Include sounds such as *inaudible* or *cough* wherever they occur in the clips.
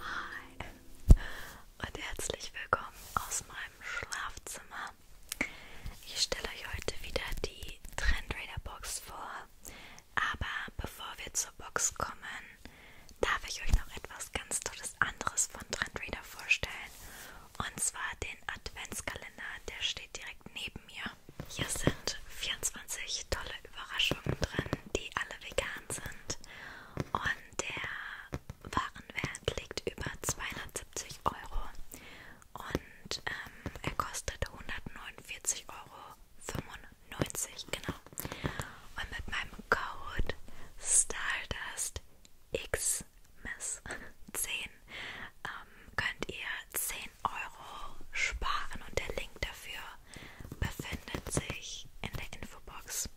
Hi und herzlich willkommen aus meinem Schlafzimmer. Ich stelle euch heute wieder die Trendrader Box vor, aber bevor wir zur Box kommen, darf ich euch noch etwas ganz Tolles anderes von Trendrader vorstellen. Und zwar den Adventskalender, der steht direkt neben mir. Hier sind 24 tolle Überraschungen drin, die alle vegan sind. Und der Warenwert liegt über 270 Euro. Und ähm, er kostet 149,95 Euro. Genau. Und mit meinem Code STARDUSTXMISS10 ähm, könnt ihr 10 Euro sparen und der Link dafür befindet sich in der Infobox.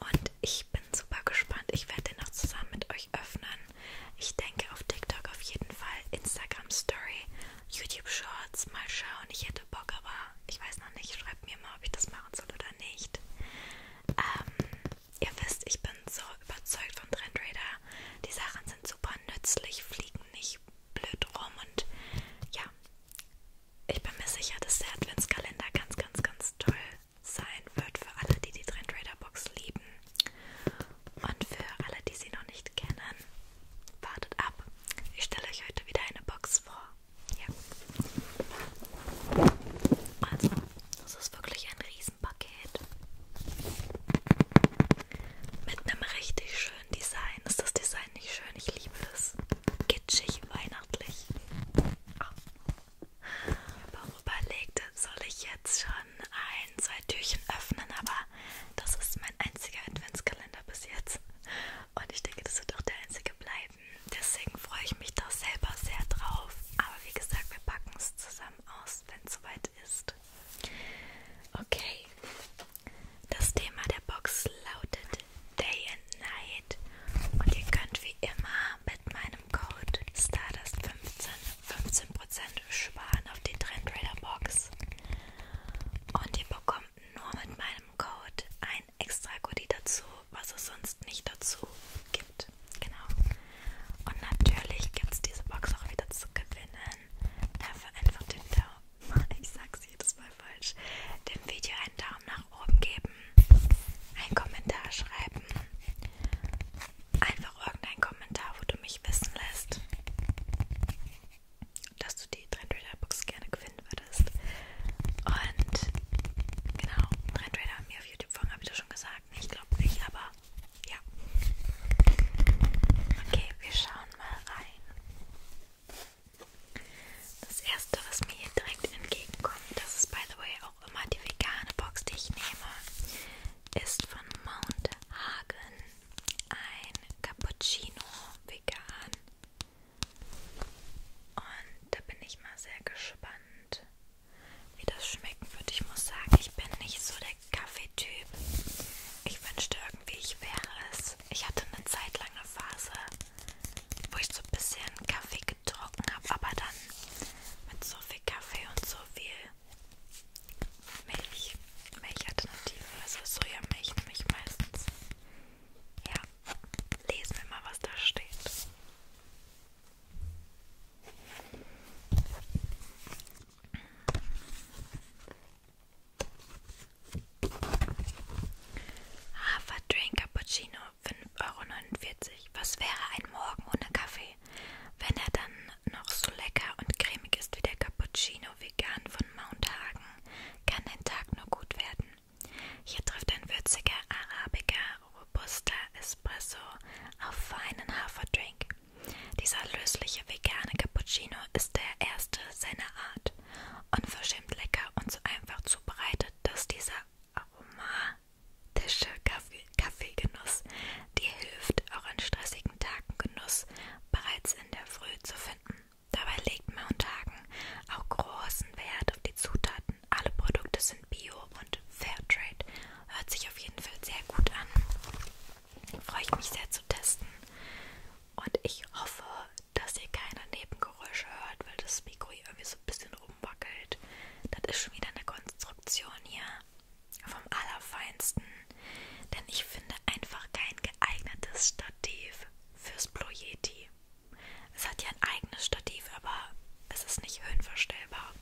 Und ich bin super gespannt. Ich werde den noch zusammen mit euch öffnen. Ich denke auf TikTok auf jeden Fall, Instagram Story, YouTube Shorts, mal schauen. Ich hätte Bock, aber ich weiß noch nicht. Schreibt mir mal, ob ich das machen soll oder nicht. Ähm, ihr wisst, ich bin so überzeugt von Trendrader. Die Sachen sind so super nützlich, fliegen nicht blöd rum und ja, ich bin mir sicher, dass der Adventskalender ganz, ganz, ganz toll sein wird für alle, die die Trend Raider Box lieben und für alle, die sie noch nicht kennen, wartet ab. Ich stelle euch heute wieder eine Box vor. Ja. Also, das ist wirklich ein Riesenpaket. Mit einem richtig schönen Design. Ist das Design nicht schön? Ich liebe es. Kitschig, weihnachtlich. Oh. Ich habe auch überlegt, soll ich jetzt schon ein, zwei Türchen öffnen, aber das ist mein einziger Adventskalender bis jetzt. Und ich denke, das wird auch der einzige bleiben. Deswegen freue ich mich da selber sehr drauf. Aber wie gesagt, wir packen es zusammen aus, wenn es soweit ist. Okay, das Thema der Box lautet Day and Night und ihr könnt wie immer mit meinem Code Stardust15 15% sparen auf die Trendrader Box und ihr bekommt nur mit meinem Code ein extra Goodie dazu, was es sonst nicht dazu gibt. Genau. Und natürlich gibt es diese Box auch wieder zu gewinnen. Dafür einfach den Daumen *laughs* ich sag's jedes Mal falsch, dem Video einen Daumen nach oben geben, einen Kommentar schreiben, einfach irgendein Kommentar, wo du mich wissen lässt, dass du die Trendrader Box gerne gewinnen würdest. Und genau, Trendrader haben wir auf YouTube folgen, habe ich dir schon gesagt. Ich glaube nicht, aber ja. Okay, wir schauen schauen mal rein. Das erste, was mir hier direkt entgegenkommt, das ist by the way auch immer die vegane Box, die ich nehme, ist von Mount Hagen. Ein Cappuccino vegan. Und da bin ich mal sehr gespannt, wie das schmecken wird. Ich muss sagen, ich bin nicht so der Kaffeetyp. Ich wünschte irgendwie, ich wäre es. Ich hatte eine Zeit lang eine Phase, wo ich so ein bisschen Kaffee getrunken habe, aber dann mit so viel Kaffee und so viel Milch. Milchalternative, also Sojamilch nehme ich meistens. Ja, lesen wir mal, was da steht. Haferdrink Cappuccino 5,49 Euro. Was wäre ein Morgen ohne Kaffee? Wenn er dann noch so lecker und cremig ist wie der Cappuccino vegan von Mount Hagen, kann dein Tag nur gut werden. Hier trifft ein würziger Arabica, robuster Espresso auf feinen Haferdrink. Dieser lösliche vegane Cappuccino ist der erste seiner Art, unverschämt lecker und so einfach zubereitet, dass dieser aromatische Kaffee Kaffeegenuss dir hilft, auch an stressigen Tagen Genuss bereits in der Früh zu finden. Dabei legt Mount Hagen auch großen Wert auf die Zutaten. Alle Produkte sind Bio und Fairtrade. Hört sich auf jeden Fall sehr gut an. Freue ich mich sehr zu testen. Und ich hoffe, dass ihr keine Nebengeräusche hört, weil das Mikro hier irgendwie so ein bisschen rumwackelt. Das ist schon wieder eine Konstruktion hier vom Allerfeinsten. Denn ich finde einfach kein geeignetes Stativ fürs Blue Yeti. Es hat ja ein eigenes Stativ, aber es ist nicht höhenverstellbar.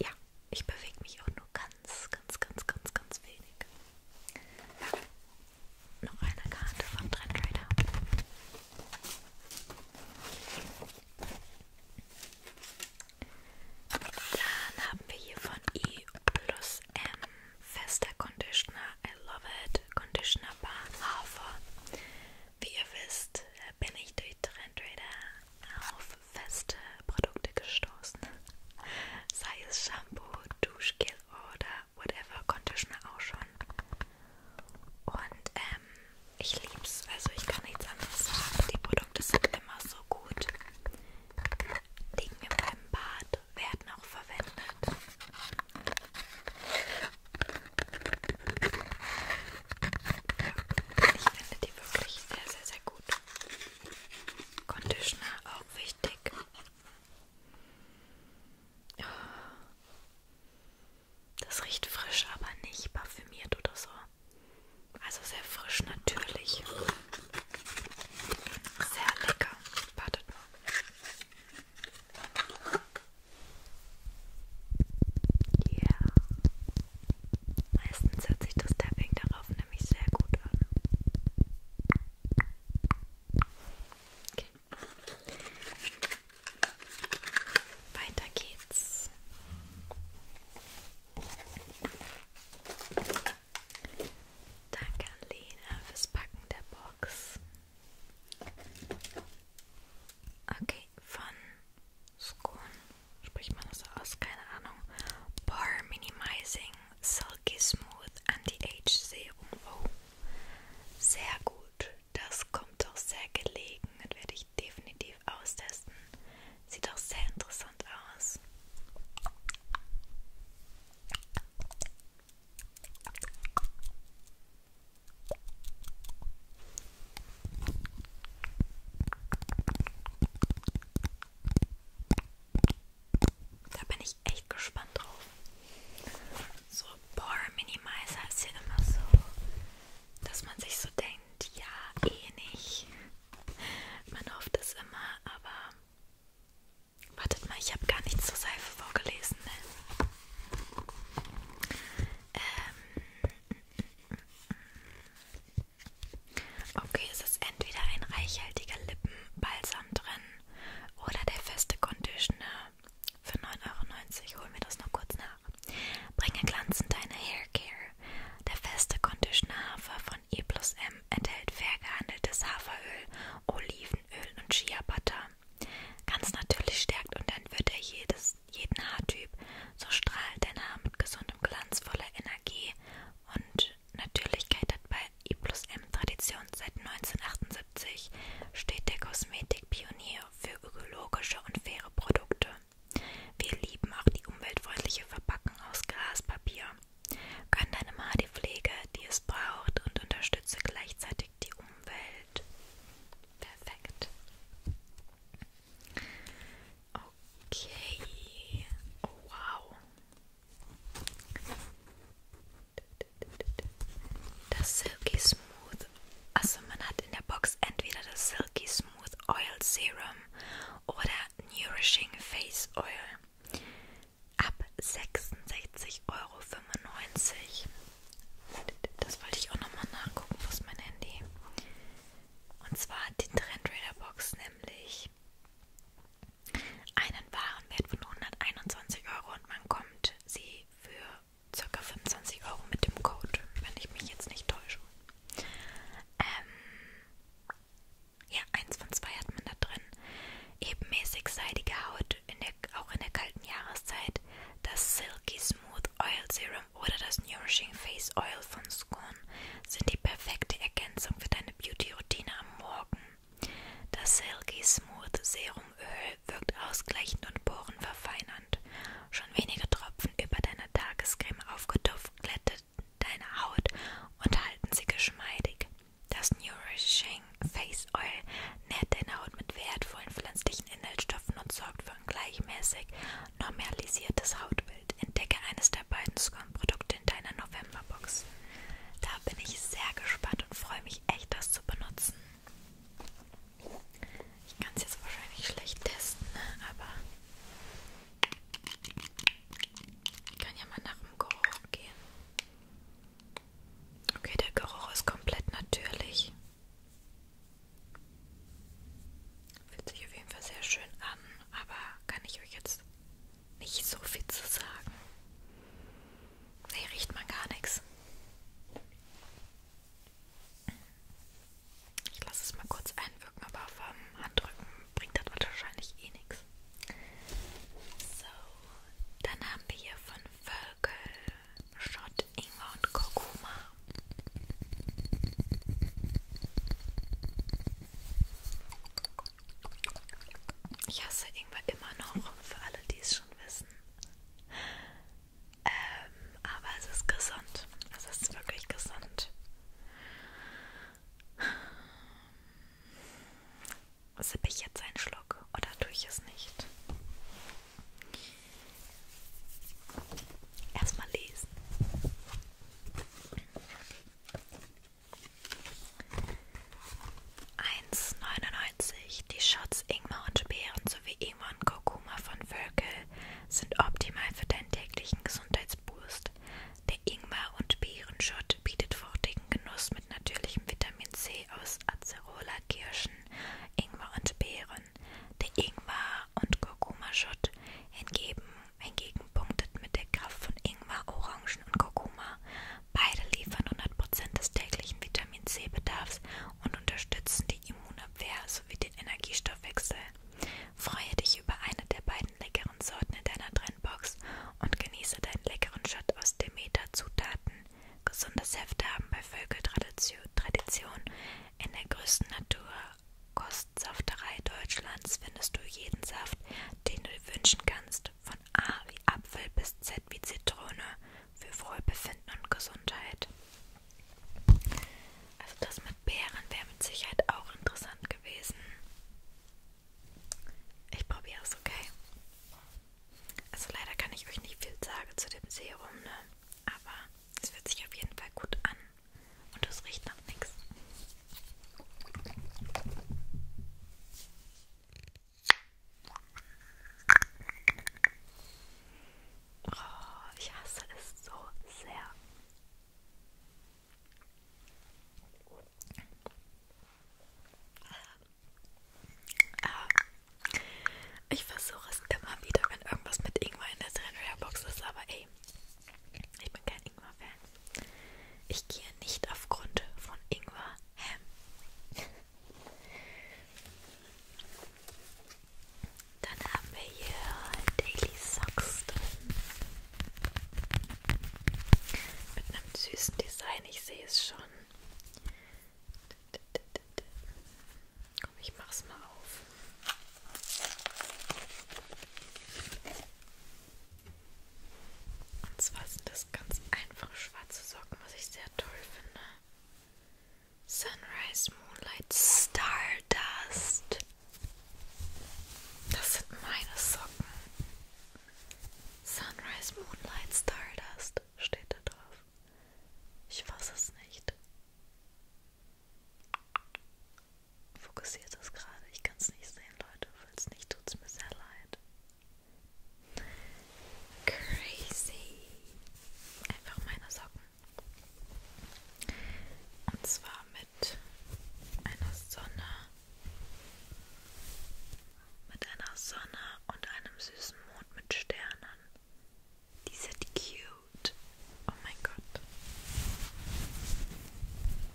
Ja, ich bewege mich auch nur ganz ganz, ganz, ganz, ganz, ganz wenig. Noch eine Karte von Trendrider. Dann haben wir hier von I plus M fester Conditioner. I love it. Conditioner Bar Hafer. Wie ihr wisst, äh, bin ich durch Trendrider auf feste Produkte gestoßen. Sei es Shampoo, Duschgel oder whatever, Conditioner auch schon. Und ähm, ich lieb's, also ich kann nichts anderes sagen. Die Produkte sind immer so gut. Liegen mir beim Bad, werden auch verwendet. Ich finde die wirklich sehr, sehr, sehr gut. Conditioner auch wichtig. Oh. Das riecht frisch, aber nicht parfümiert oder so. Also sehr frisch, natürlich. Sehr lecker. Wartet mal. Ja. Yeah. Meistens hört sich das Tapping darauf nämlich sehr gut an. Okay. Weiter geht's. Danke an Lena fürs Packen der Box. Okay, von Scone spricht man das aus? Keine Ahnung. Bar Minimizing Salt Silky Smooth Anti-Age Serum. Oh, sehr gut. Das kommt doch sehr gelegen und werde ich definitiv austesten. Sieht doch sehr interessant aus. Da bin ich echt gespannt drauf. So Pore Minimizer ist ja immer so, dass man sich so denkt, ja, eh nicht. Man hofft es immer, aber... Wartet mal, ich habe gar nichts zur Seife vorgelesen. Ne? Ähm mm, mm, mm, okay, es ist entweder ein reichhaltiger Lippenbalsam drin oder der feste Conditioner für 9,90 Euro. Hol mir das noch kurz nach. Bringe Glanz in deine Haircare. Der feste Conditioner Hafer von E plus M enthält fair gehandeltes Haferöl, Olivenöl und Shea Butter. Ganz natürlich stärkt und entwirrt er jedes, jeden Haartyp. So strahlt dein Haar mit gesundem Glanz voller Energie und Natürlichkeit hat bei I plus M Tradition seit 1978 steht der Kosmetikpionier für ökologische und faire Produkte. Wir lieben auch die umweltfreundliche Verpackung aus Glaspapier. Gönn deinem Haar die Pflege, die es braucht und unterstütze gleichzeitig die Umwelt. Perfekt. Okay. Oh, wow. Das Silky Smooth. Also man hat in der Box entweder das Silky Smooth Oil Serum oder Nourishing Face Oil. Ab 66,95 Euro. Das wollte ich auch nochmal nachgucken, wo ist mein Handy? Und zwar die Trendrader Box nämlich einen Warenwert von 121 Euro und man kommt sie für ca. 25 Euro mit dem Code, wenn ich mich jetzt nicht täusche. Ähm, ja, eins von zwei hat man da drin. Ebenmäßig seidige Haut, in der, auch in der kalten Jahreszeit. Das Silky Smooth Oil Serum oder das Nourishing Face Oil von Scorn sind die perfekte Ergänzung für deine Beauty-Routine am Morgen. Das Silky Smooth Serumöl wirkt ausgleichend und porenverfeinernd. Schon wenige Tropfen über deine Tagescreme aufgetupft glättet deine Haut und halten sie geschmeidig. Das Nourishing Face Oil nährt deine Haut mit wertvollen pflanzlichen Inhaltsstoffen und sorgt für ein gleichmäßig normalisiertes Hautbild. Entdecke eines der beiden Scone-Produkte in deiner Novemberbox. Da bin ich sehr gespannt und freue mich echt, das zu benutzen. Ich kann es jetzt wahrscheinlich schlecht testen, ne? aber ich kann ja mal nach dem Geruch gehen. Okay, der Geruch ist komplett natürlich. Fühlt sich auf jeden Fall sehr schön an, aber kann ich euch jetzt nicht so viel zu sagen. Nee, riecht man gar nichts. Ich lasse es mal kurz einwirken, aber vom Handrücken bringt das wahrscheinlich eh nichts. So, dann haben wir hier von Völkel Schott, Ingwer und Kurkuma. Ich hasse Ingwer immer noch, für alle, die es schon wissen. Ähm, aber es ist gesund. Es ist wirklich gesund. Sippe ich jetzt einen Schluck oder tue ich es nicht? Erstmal lesen. 1,99 Die Shots Ingwer und Beeren sowie Ingwer und Kurkuma von Völkel sind optimal für deinen täglichen Gesundheitsboost. Der Ingwer- und Beerenshot bietet fruchtigen Genuss mit natürlichem Vitamin C aus Acerola, Kirschen, Ingwer und Beeren. Der Ingwer- und Kurkuma-Shot hingegen, hingegen punktet mit der Kraft von Ingwer, Orangen und Kurkuma Beide liefern 100% des täglichen Vitamin C-Bedarfs und unterstützen die Immunabwehr sowie den Energiestoffwechsel. Freue dich über eine der beiden leckeren Sorten in deiner Trendbox und genieße deinen leckeren Shot aus Demeter-Zutaten. Gesundes Heft haben bei Völkeltradition in der größten Natur. Kostsafterei Deutschlands findest du jeden Saft, den du dir wünschen kannst Gesellschaft von A wie Apfel bis Z wie Zitrone für Wohlbefinden und Gesundheit. Also das mit Beeren wäre mit Sicherheit auch interessant gewesen. Ich probiere es, okay? Also leider kann ich euch nicht viel sagen zu dem Serum, ne? Aber es fühlt sich auf jeden Fall gut an. Und es riecht nach nichts. Oh, ich hasse es so sehr. Ähm, ich versuche es immer wieder, wenn irgendwas mit Ingwer in der Box ist, aber ey, ich bin kein Ingwer-Fan. Ich gehe nicht aufgrund von Ingwer Ham. Dann haben wir hier Daily Socks drin. Mit einem süßen Design, ich sehe es schon. Komm, ich mach's mal auf. Und zwar sind das ganz einfache schwarze Socken, was ich sehr toll finde. Sunrise Moonlight Stardust. Das sind meine Socken. Sunrise Moonlight Stardust steht da drauf. Ich weiß es nicht. Fokussiert es gerade. Ich kann es nicht sehen, Leute. Falls nicht, tut es mir sehr leid. Crazy. Einfach meine Socken. Und zwar mit einer Sonne. Mit einer Sonne und einem süßen Mond mit Sternen. Die sind cute. Oh mein Gott. Ich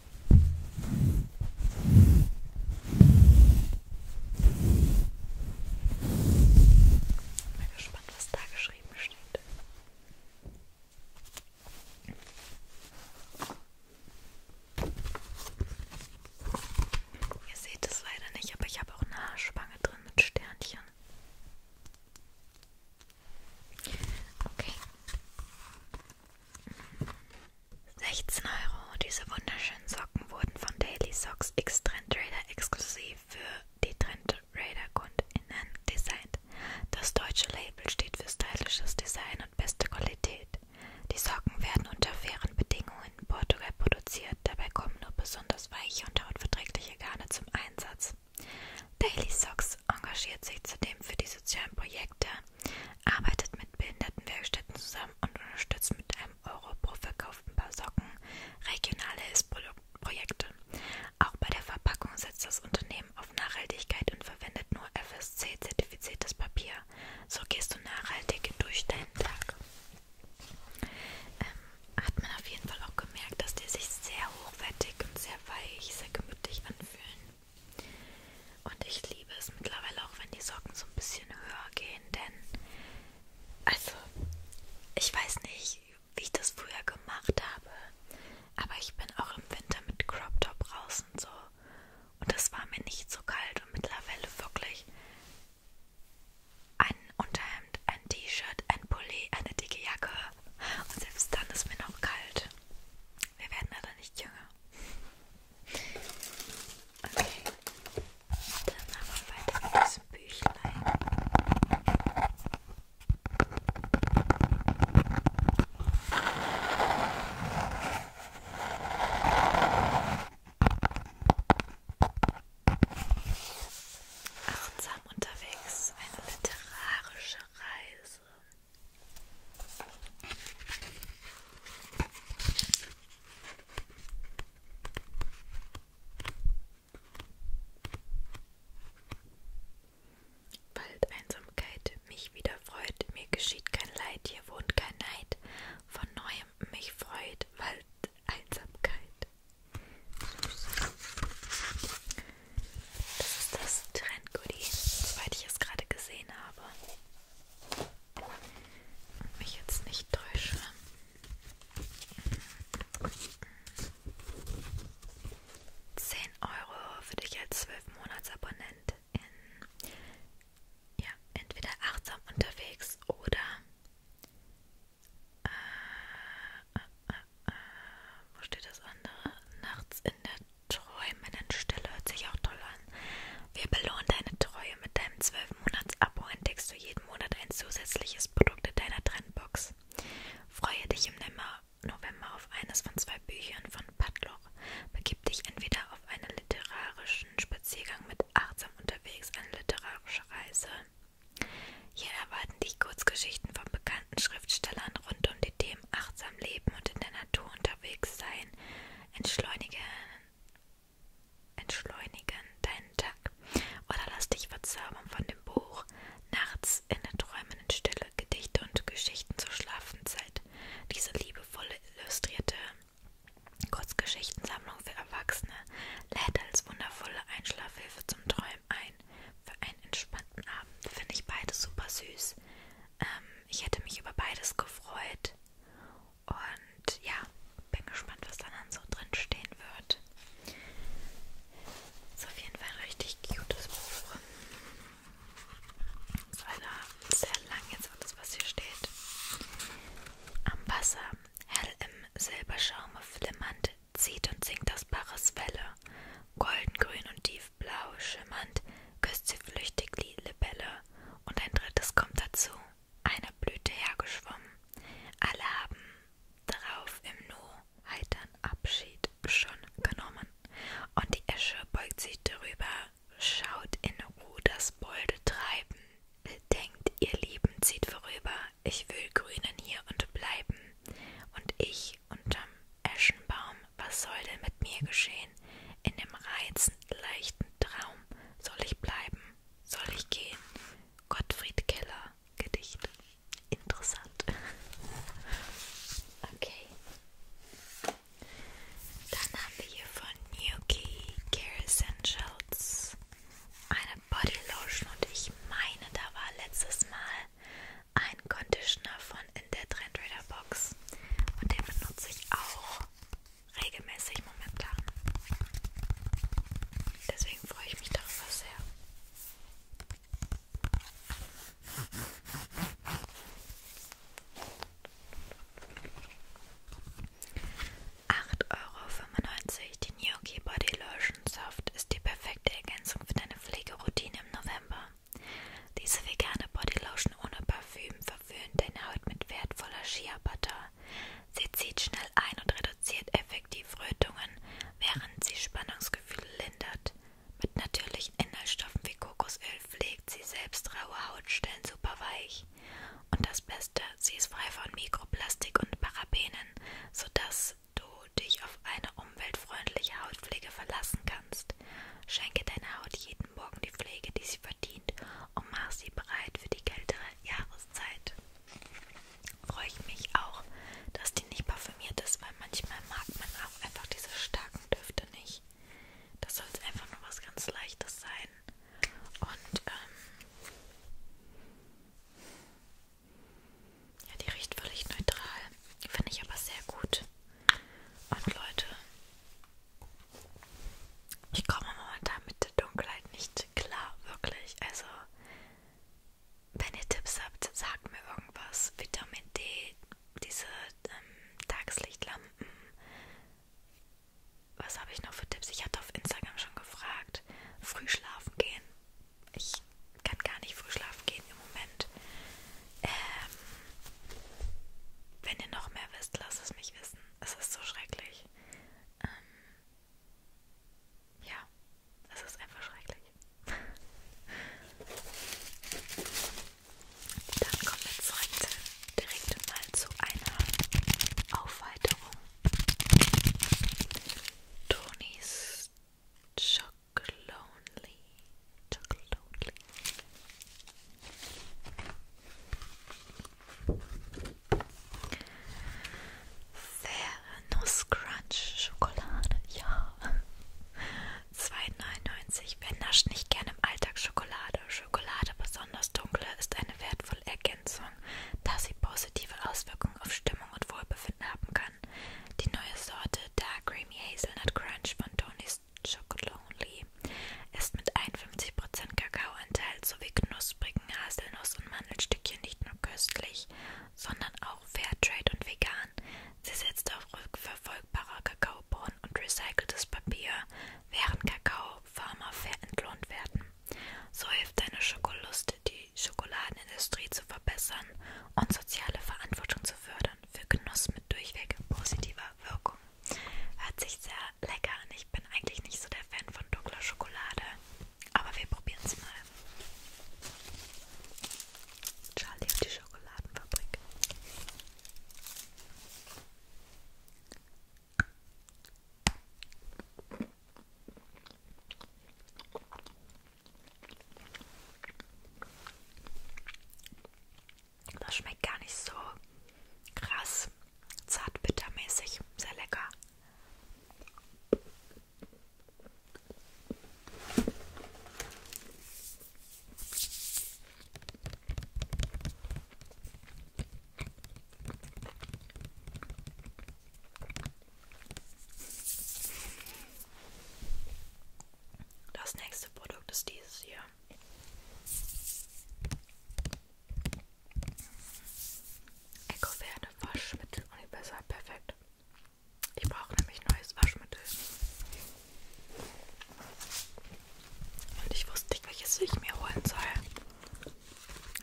bin gespannt, was da geschrieben steht. Ihr seht es leider nicht, aber ich habe auch eine Haarspange drin mit Sternchen. Okay. 16 Euro. Diese wunderschönen Socken wurden von Daily Socks X-Trend Raider exklusiv für die Trend Raider KundInnen designt. Das deutsche Label steht für stylisches Design und beste Qualität. Die Socken werden unter fairen Bedingungen in Portugal produziert, dabei kommen nur besonders weiche und hautverträgliche Garne zum Einsatz. Daily Socks engagiert sich zudem für die sozialen Projekte arbeitet mit Behindertenwerkstätten zusammen und unterstützt mit einem Euro pro verkauften Paar Socken regionale Hilfsprojekte. Auch bei der Verpackung setzt das Unternehmen auf Nachhaltigkeit und verwendet nur FSC-zertifiziertes Papier. So gehst du nachhaltig durch deinen Tag. Ähm, hat man auf jeden Fall auch gemerkt, dass die sich sehr hochwertig und sehr weich, sehr gemütlich anfühlen. Und ich liebe es mittlerweile auch, wenn die Socken so ein bisschen höher gehen, denn also ich weiß nicht, wie ich das früher gemacht habe, aber ich bin auch im Winter mit Crop Top raus und so und das war mir nicht so kalt und mittlerweile wirklich ein Unterhemd, ein T-Shirt, ein Pulli, eine dicke Jacke und selbst dann ist mir noch kalt. Wir werden leider nicht jünger. Okay. Dann machen wir weiter mit diesem Büchlein. Achtsam unterwegs, eine literarische Reise. Bald Einsamkeit mich wieder freut, mir geschieht kein Leid, hier wohnt kein Neid, von neuem mich freut, bald Einsamkeit. Das ist das Trendgoodie, soweit ich es gerade gesehen habe und mich jetzt nicht täusche. Zehn Euro für dich als zwölf Monatsabonnent in ja, entweder achtsam unterwegs oder äh, äh, äh, äh wo steht das andere? Nachts in der träumenden Stille hört sich auch toll wir belohnen deine Treue mit deinem 12-Monats-Abo entdeckst du jeden Monat ein zusätzliches Produkt in deiner Trendbox. Freue dich im November auf eines von zwei Büchern von Padloch. Begib dich entweder auf einen literarischen Spaziergang mit achtsam unterwegs, eine literarische Reise. Hier erwarten dich Kurzgeschichten von bekannten Schriftstellern rund um die Themen achtsam leben und in der Natur unterwegs sein. Entschleunige entschleunigen deinen Tag oder lass dich verzaubern von dem Buch Nachts in der träumenden Stille Gedichte und Geschichten zur Schlafenszeit. Diese liebevolle, illustrierte Kurzgeschichtensammlung für Erwachsene lädt als wundervolle Einschlafhilfe zum Träumen ein für einen entspannten Abend. Finde ich beides super süß. Ähm, ich hätte mich über beides gefreut und ja, bin gespannt, was dann so drin stehen wird. Ist auf jeden Fall ein richtig cutes Buch. Ist also sehr lang jetzt alles, was hier steht. Am Wasser, hell im Silberschaume flimmernd, zieht und sinkt das Baches Welle. Goldengrün und tiefblau schimmernd, küsst sie flüchtig die Libelle. Und ein drittes kommt dazu einer Blüte hergeschwommen. Alle haben darauf im Nu heitern Abschied schon genommen. Und die Esche beugt sich darüber, schaut in Ruhe das Bolde treiben. Denkt, ihr Lieben zieht vorüber, ich will grünen hier und bleiben. Und ich unterm Eschenbaum, was soll denn mit mir geschehen? In dem reizend leichten Traum soll ich bleiben? Soll ich gehen? Gottfried Keller, Gedicht. Interessant. *laughs* Okay. Dann haben wir hier von Nuki Care Essentials eine Body Lotion und ich meine, da war letztes Mal ein Conditioner von in der Trendreader Box und den benutze ich auch regelmäßig Moment planen. Deswegen freue ich mich darüber sehr. Acht Euro fünfundneunzig. Die Gnocchi Body Lotion Soft ist die perfekte Ergänzung für deine Pflegeroutine im November. Diese vegane Bodylotion ohne Parfüm verwöhnt deine Haut mit wertvoller Shea Butter. Sie zieht schnell ein und reduziert effektiv Rötungen, während sie Spannungsgefühle lindert. Mit natürlichen Inhaltsstoffen wie Kokosöl pflegt sie selbst raue Hautstellen super weich. Und das Beste, sie ist frei von Mikroplastik und Parabenen, sodass du dich auf eine umweltfreundliche Hautpflege verlassen kannst. Schenke deiner Haut jeden Morgen die Pflege, die sie verdient verdient und mach sie bereit für die kältere Jahreszeit. Freue ich mich auch, dass die nicht parfümiert ist, weil manchmal mag man auch einfach diese starken Düfte nicht. Das soll jetzt einfach nur was ganz Leichtes sein. Und ähm, ja, die riecht völlig neutral. Finde ich aber sehr gut. Und Leute, ich komme momentan mit der Dunkelheit nicht klar, wirklich. Also, wenn ihr Tipps habt, sagt mir irgendwas. Vitamin D, diese ähm, Tageslichtlampen. Was habe ich noch für Tipps? Ich hatte auf Instagram schon gefragt. Früh schlafen gehen. Ich kann gar nicht früh schlafen gehen im Moment. Ähm, wenn ihr noch mehr wisst, lasst es mich wissen. Es ist so schrecklich schrecklich. Ähm, ja, es ist einfach schrecklich. Dann kommen wir zurück, direkt mal zu einer Aufweiterung. Tonys Chocolonely. Chocolonely. Faire Nusscrunch Schokolade, ja. 2,99. Wer nascht nicht gerne im Alltag Schokolade? Schokolade, besonders dunkle, ist eine wertvolle Ergänzung, da sie positive Auswirkungen auf Stimmung und Wohlbefinden haben kann. Die neue Sorte Dark Creamy Hazelnut Crunch von Tony's Chocolonely Müsli. Ist mit 51% Kakaoanteil sowie knusprigen Haselnuss- und Mandelstückchen nicht nur köstlich, sondern auch Fairtrade und vegan. Sie setzt auf rückverfolgbarer Kakaobohnen und recyceltes Papier, während Kakaofarmer fair entlohnt werden. So hilft deine Schokolust, die Schokoladenindustrie zu verbessern und soziale Verantwortung zu fördern für Genuss mit durchweg positiver Wirkung. Schoko. Hört sich sehr lecker an. Ich bin eigentlich nicht so der Fan von dunkler Schokolade. Aber wir probieren es mal. Charlie und die Schokoladenfabrik. Das schmeckt gar nicht so krass zart bittermäßig, sehr lecker. Das nächste Produkt ist dieses hier. Ecoverde Waschmittel Universal Perfekt. Ich brauche nämlich neues Waschmittel. Und ich wusste nicht, welches ich mir holen soll.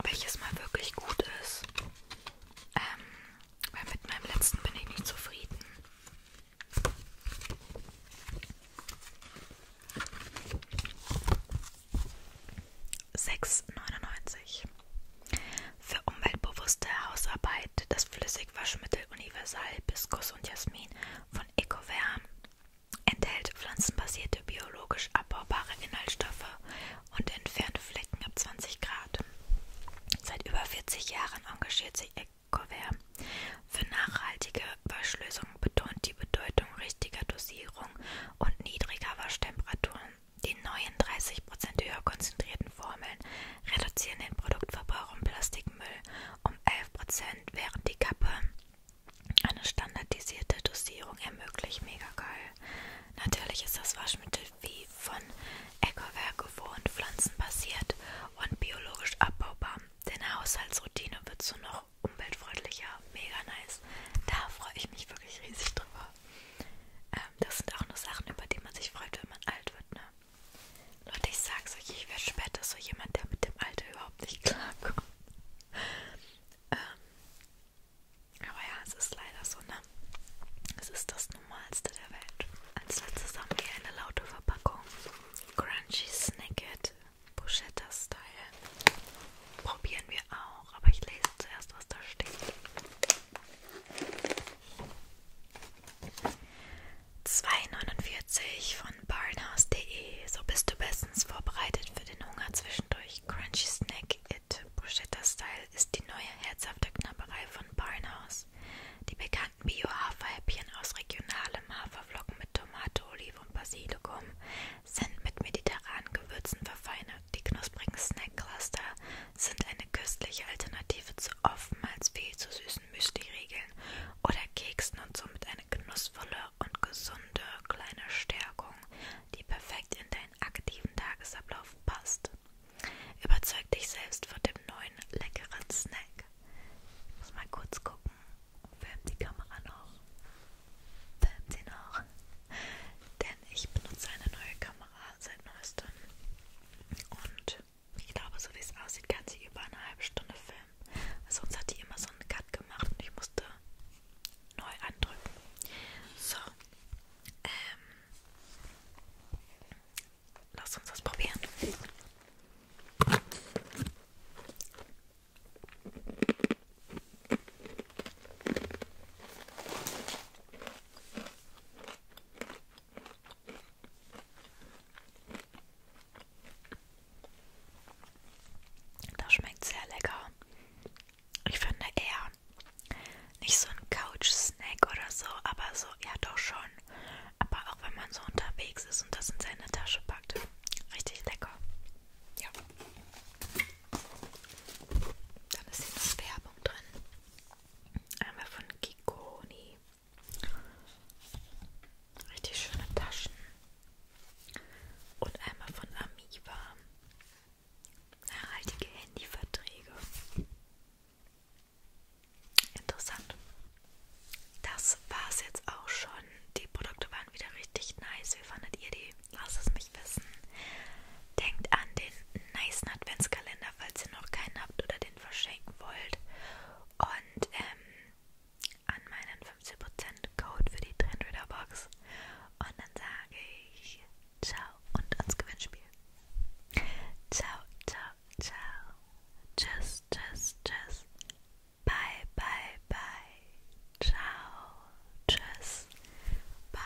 Welches mal wirklich gut ist. Ähm, weil mit meinem letzten bin ich nicht zufrieden. 6,99 Für umweltbewusste Hausarbeit das Flüssigwaschmittel Universal Biskus und Jasmin von EcoVerm enthält pflanzenbasierte biologisch abbaubare Inhaltsstoffe und entfernt Flecken ab 20 Grad. Seit über 40 Jahren engagiert sich EcoVerm für nachhaltige Waschlösungen Lösung betont die Bedeutung richtiger Dosierung und niedriger Waschtemperaturen. Die neuen 30% höher konzentrierten Formeln reduzieren den Produktverbrauch und Plastikmüll um 11%, während die Kappe eine standardisierte Dosierung ermöglicht. Mega geil. Natürlich ist das Waschmittel wie von Ecowerk gewohnt, pflanzenbasiert und biologisch abbaubar. Deine Haushaltsroutine wird so noch umweltfreundlicher, mega nice. Da freue ich mich wirklich riesig drüber. Ähm, das sind auch nur Sachen, über die man sich freut, wenn man alt wird, ne? Leute, ich sag's euch, ich werde später so jemand, der mit dem Alter überhaupt nicht klarkommt. *laughs* ähm, aber ja, es ist leider so, ne? Es ist das Normalste der Welt. Als letztes haben wir eine laute Verpackung. Crunchy Snicket Bruschetta-Style. Probieren wir auch, aber ich lese zuerst, was da steht. 2,49 von barnhouse.de. So bist du bestens vorbereitet für den Hunger zwischendurch. Crunchy Snack It Bruschetta Style ist die neue herzhafte Knabberei von Barnhouse. Die bekannten Bio-Haferhäppchen aus regionalem Haferflocken mit Tomate, Olive und Basilikum sind mit mediterranen Gewürzen verfeinert. Die knusprigen Snack-Cluster sind eine köstliche Alternative zu oftmals viel zu süßen Müsli-Riegeln oder Keksen und somit eine genussvolle und gesunde kleine Stärkung, die perfekt in deinen aktiven Tagesablauf passt. Überzeug dich selbst von dem neuen leckeren Snack. Ich muss mal kurz gucken film die Kamera noch. Film sie noch. Denn ich benutze eine neue Kamera seit neuestem. Und ich glaube, so wie es aussieht, kann sie über eine halbe Stunde filmen. Sonst hat die immer so einen Cut gemacht und ich musste neu andrücken. So. Ähm. Lass uns das probieren. Das schmeckt sehr lecker. Ich finde eher nicht so ein Couch-Snack oder so, aber so, ja doch schon. Aber auch wenn man so unterwegs ist und das in seine Tasche packt. Richtig lecker. Ja. Dann ist hier noch Werbung drin. Einmal von Kikoni. Richtig schöne Taschen. Und einmal von Amiva. Nachhaltige Handyverträge. Interessant. Das war's jetzt auch schon. Die Produkte waren wieder richtig nice. Wie fandet ihr die? Lass es mich wissen. Denkt an den nice Adventskalender, falls ihr noch keinen habt oder den verschenken wollt. Und ähm, an meinen 15% Code für die Trendreader Box. Und dann sage ich Ciao und ans Gewinnspiel. Ciao, ciao, ciao. Tschüss, tschüss, tschüss. Bye, bye, bye. Ciao. Tschüss. Bye.